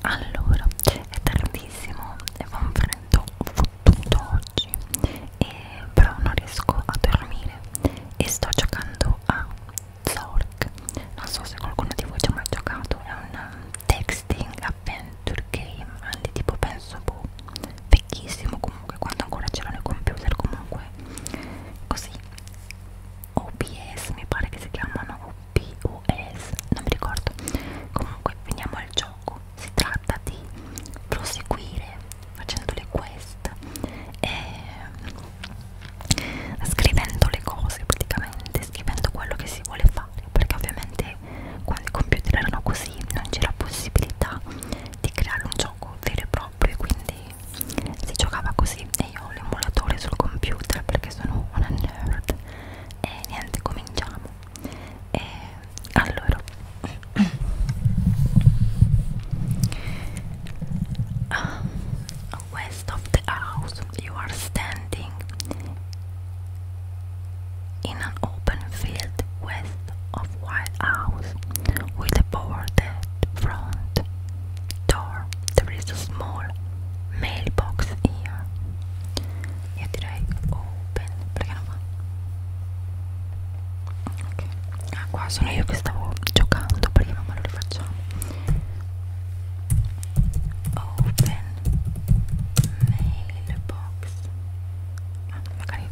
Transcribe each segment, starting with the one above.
Allora, è tardissimo e fa un freddo fottuto oggi, e però non riesco a dormire e sto giocando a Zork. Non so se qualcuno di voi ci ha mai giocato, è un texting adventure game, anche tipo penso boh, vecchissimo comunque, quando ancora c'erano i computer comunque così OBS mi pare che si chiamano OBS non mi ricordo comunque veniamo al gioco si tratta di proseguire facendo le quest e mm, scrivendo le cose praticamente scrivendo quello che si vuole fare perché ovviamente quando i computer erano così non c'era possibilità di creare un gioco vero e proprio quindi si giocava così e io ho l'emulatore sul computer perché sono una nerd e niente cominciamo e allora uh, west of the house you are standing in an open field west of white house with a boarded front door there is a small mailbox here. Yeah, I open? Perché non Ok, ah, qua sono io che stavo giocando perché mamma lo rifacciamo. Open mailbox. Ah, magari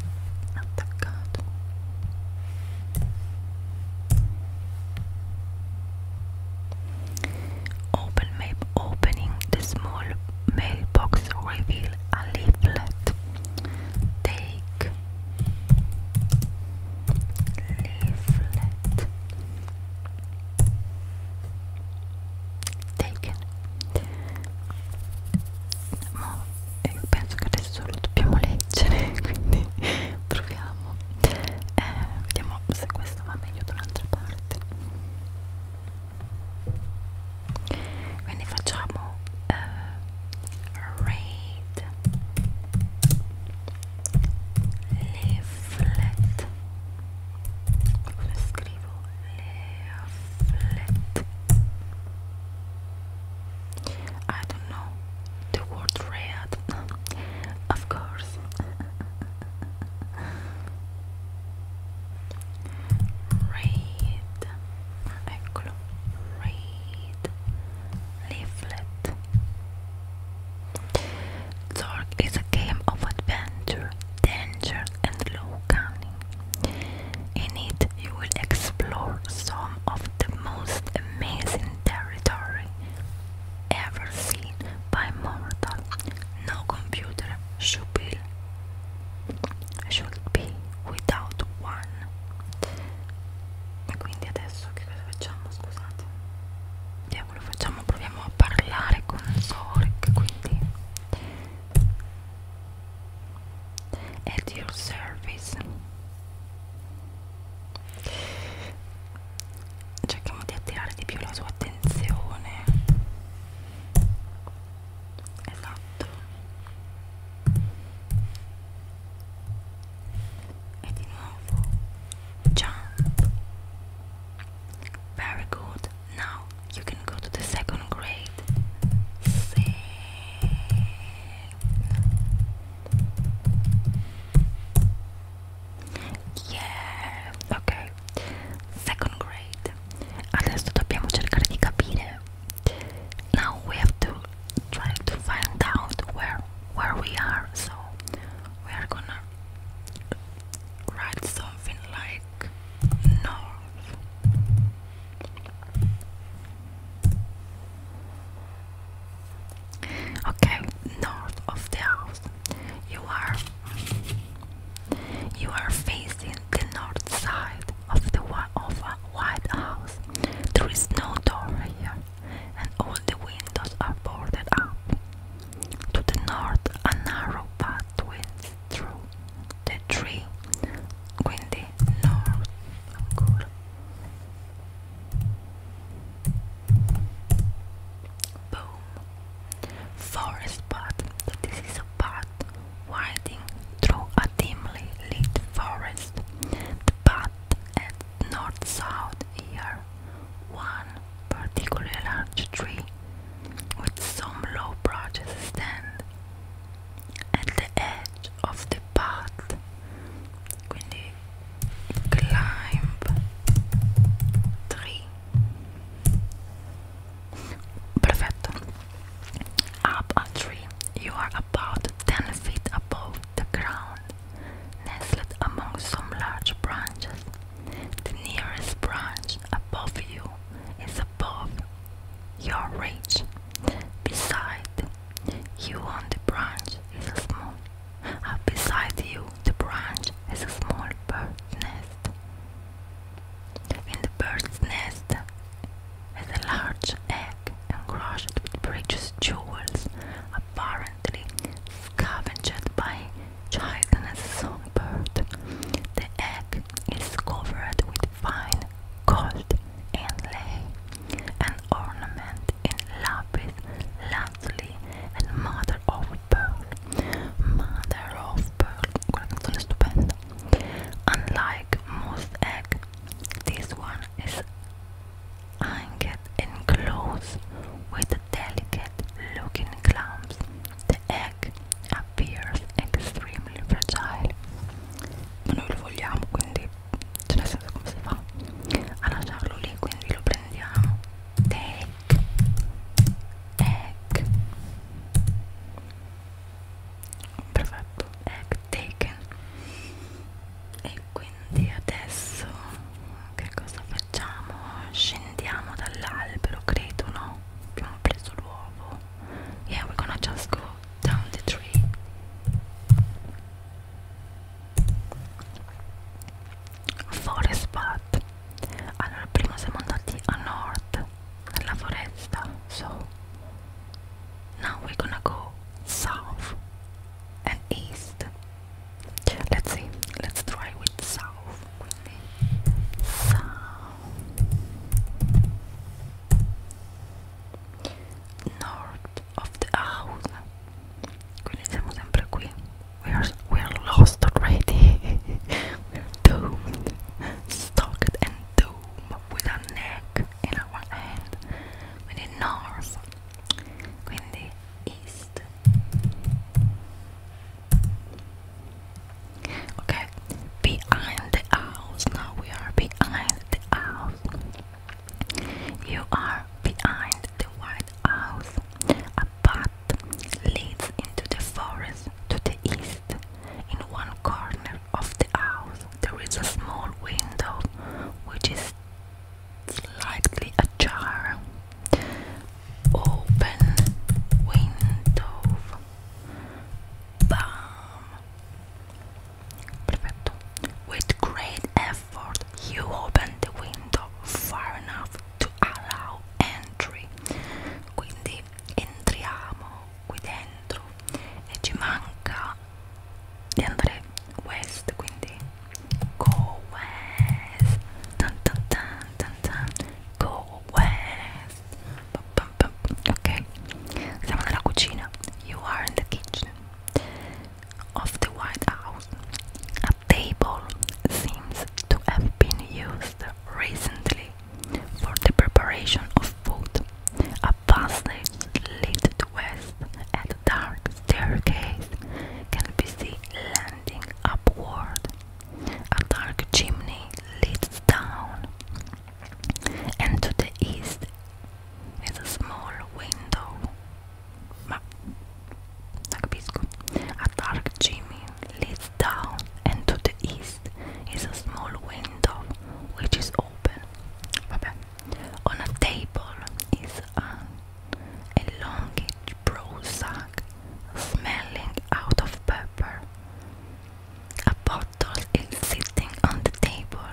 Open map opening the small mailbox reveal a leaflet. Take leaflet taken. Ma penso che adesso lo dobbiamo leggere, quindi proviamo eh, vediamo se questo va meglio da un'altra parte quindi facciamo uh, eh, raid leaflet come scrivo leaflet I don't know the word red, of course. Read, eccolo, read, leaflet. Zork is a game of adventure, danger, and low cunning. In it, you will explore some of the most amazing in territory ever seen by mortal. No computer should be, should be without one. E quindi adesso che cosa facciamo? Scusate. Diavolo, facciamo, proviamo a parlare con Zork, quindi at your service cerchiamo di attirare di più la sua attenzione esatto e di nuovo jump very good now you can go to the second grade Six. Yeah, ok. Second grade. Adesso dobbiamo cercare di capire. Now we have to try to find out where where we are. So we are gonna write something like north. Okay, north of the house, you are you are facing the north side of the of a White House. There is no door here, and all the windows are boarded up. To the north, a narrow path winds through the tree windy north. Forest path. So this is a path winding through a dimly lit forest. The path at north-south here. One particular large tree with some low branches stand at the edge of the path quindi climb tree perfetto up a tree you are about 10 feet above the ground nestled among some large branches the nearest branch above you is above your reach beside you on the branch is a small. Uh, beside you, the branch is a small bird's nest. In the bird's nest is a large egg encrusted with precious jewels, apparently scavenged by chitinous songbird. The egg is covered with fine gold inlay, an ornament in love with lazuli and mother of pearl. Mother of pearl, colección estupenda. Unlike most eggs, this one is hanged in clothes with delicate looking clumps. The egg appears extremely fertile. ma noi lo vogliamo quindi cioè nel senso come si fa a lasciarlo lì quindi lo prendiamo take egg perfetto egg taken e quindi adesso che cosa facciamo scendiamo dall'albero credo no abbiamo preso l'uovo yeah we're gonna just go down the tree. Forest Path. Allora prima siamo andati a nord nella foresta. So now we gonna go south and east. Let's see. Let's try with south. South north of the house. Quindi siamo sempre qui. We are, we are lost already. we are and doomed with a neck in our hand. Quindi north. Quindi east. Ok, behind the house. Now we are behind the house. You are behind the white house. A path leads into the forest to the east. In one corner of the house, there is a small window which is slightly ajar. Open window. Bam! With great effort, you open the window far enough to allow entry. Quindi entriamo qui dentro e ci manca di andare west, quindi go west. Dun, dun, dun, dun, dun. Go west. Ok, siamo nella cucina. You are in the kitchen of the White House. A table seems to have been used recently for the preparation of food. A passage leads west and a dark staircase can be seen landing upward. A dark chimney leads down and to the east is a small window. Ma capisco. A dark chimney leads down, and to the east is a small window which is open. Vabbè. On a table is an elongated brown sack smelling out of pepper. A pot bottle sitting on the table.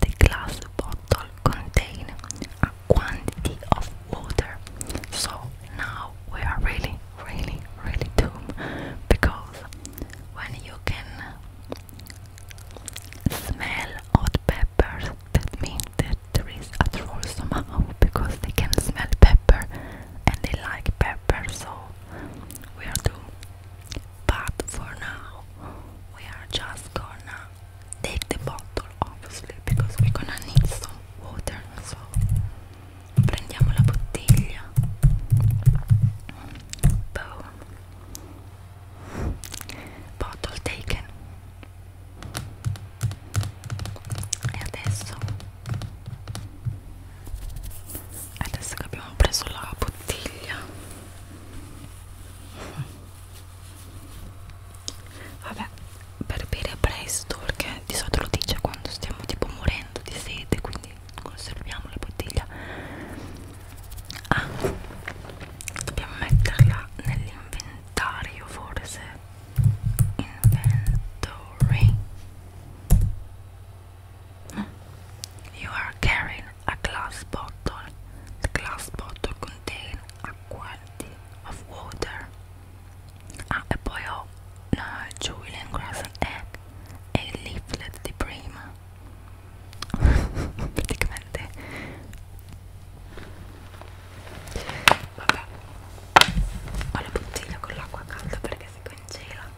The glass bottle contains a quantity of water. So now we are really, really, really doomed because when you can smell hot peppers, that means that there is a troll somehow because they can smell pepper and they like pepper, so we are doomed. But for now, we are just gonna take the bottle, obviously, because we're gonna need some water. So, prendiamo la bottiglia. Bottle taken. E adesso adesso che abbiamo preso la bottiglia vabbè per bere presto perché di solito lo dice quando stiamo tipo morendo di sete quindi conserviamo la bottiglia ah dobbiamo metterla nell'inventario forse inventory You are carrying a glass bottle. The glass bottle contains a quantity of water. Ah, e poi ho una Julian Grass and Egg e il leaflet di prima. Praticamente. Vabbè. Ho la bottiglia con l'acqua calda perché si congela.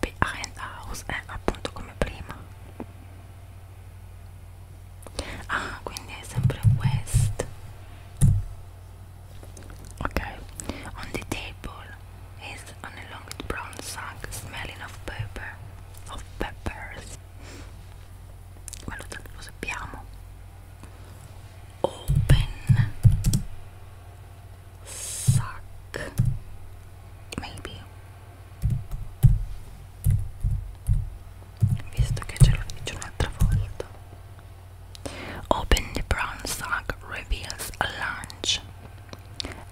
behind the house è appunto come prima ah quindi è sempre west ok on the table is an elongated brown sack smelling of pepper of peppers quello lo sappiamo open sock maybe visto che ce l'ho dice un'altra volta open the brown sock reveals a lunge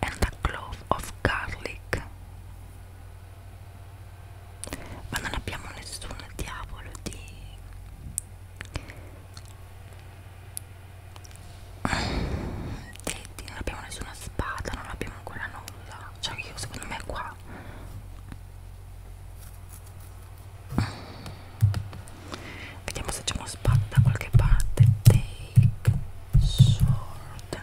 and a clove of garlic ma non abbiamo nessun diavolo di Detti, non abbiamo nessuna spada, non abbiamo ancora nulla. Cioè io secondo me qua Vediamo se c'è una spada da qualche parte. Take sword.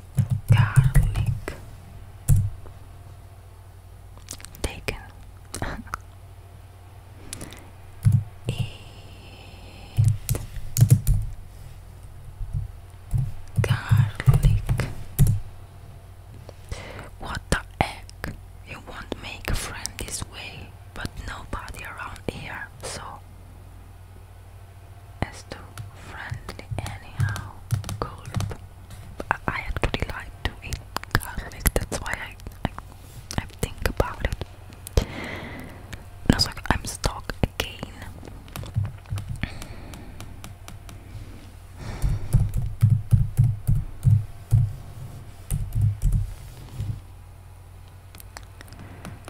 garlic taken eat garlic what the heck you won't make a friend this way but nobody around here so is too friendly anyhow. Gulp. I actually like to eat garlic, that's why I, I, think about it. I'm stuck again.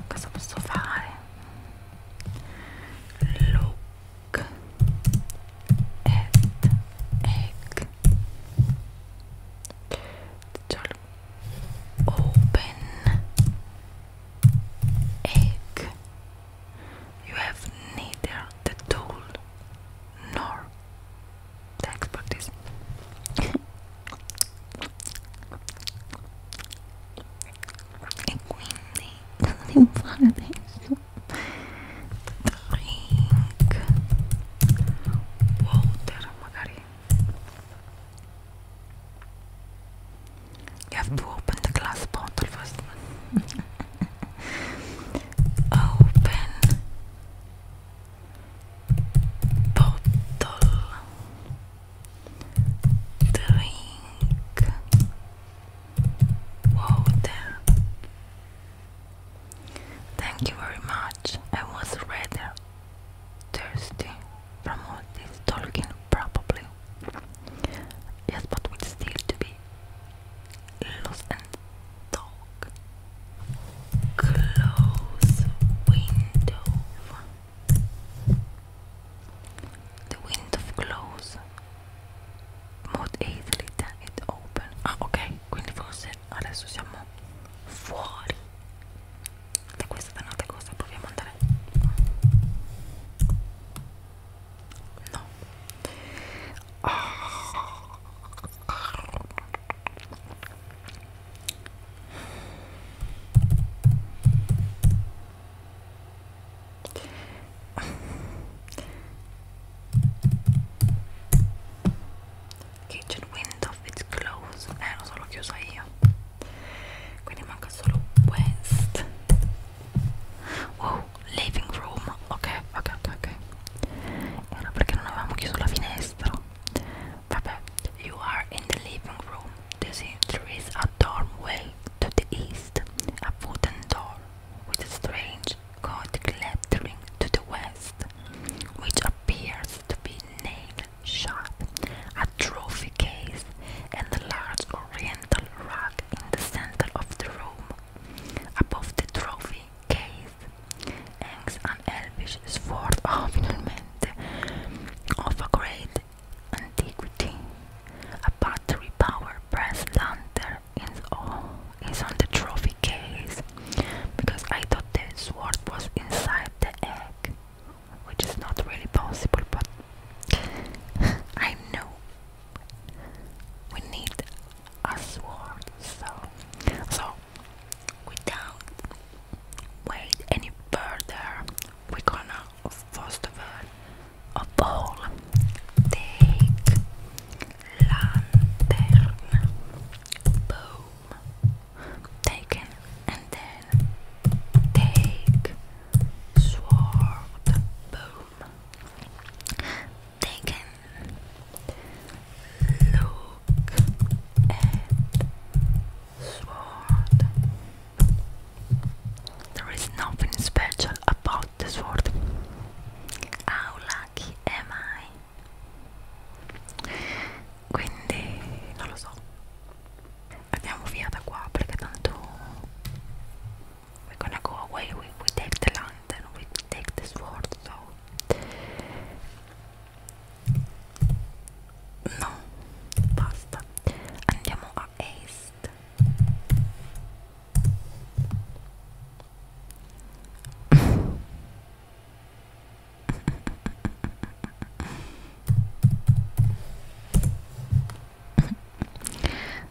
Because I'm Look at egg. Open egg. You have neither the tool nor the expertise e quindi cosa devo fare adesso? drink water magari you have to open the glass bottle first open bottle drink water. Thank you very much. I was rather thirsty from all this talking, probably. Yes, but we still to be lost and talk. Close window. The wind of clothes close easily eathlita it open. Ah, ok, quindi forse adesso siamo fuori da questa dannata cosa. Proviamo ad andare. No. Ah. Kitchen window is closed. Eh, lo so, l'ho chiusa io. Quindi manca solo West. Wow, living room. Ok, ok, ok, ok. Era perché non avevamo chiuso la finestra. Vabbè, you are in the living room. there is a doorway to the east, a wooden door with a strange gothic lettering to the west, which appears to be named shut, a trophy case, and a large oriental rug in the center of the room. Above the trophy case hangs an elvish sword ornament of a great antiquity. A battery power brass lantern is, is on the trophy case because I thought the sword was inside the egg, which is not really possible, but I know we need a sword, so so without wait any further, we're gonna first of all, of all take lantern, boom, taken, and then take sword, boom, taken. Look at sword. There is nothing special about the sword. How lucky am I? Quindi non lo so. Andiamo via da qua perché tanto we're gonna go away. We, we take the land and we take the sword. So No, basta. Andiamo a est.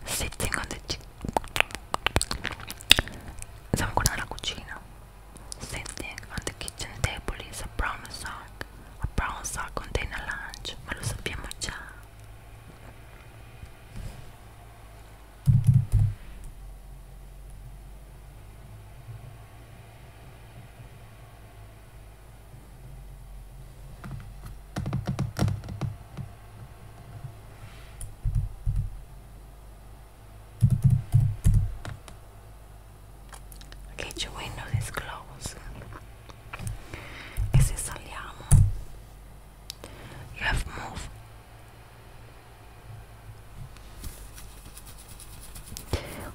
Stai zingando Stiamo guardando la cucina. Sitting on the kitchen table is a brown sock. A brown sock contains a lunch, ma lo sappiamo già che okay, your window is closed e se saliamo you have moved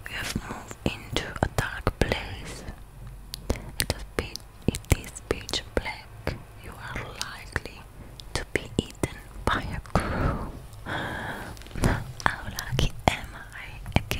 we have moved into a dark place it is, pitch black you are likely to be eaten by a crew Ahora aquí Emma eye again.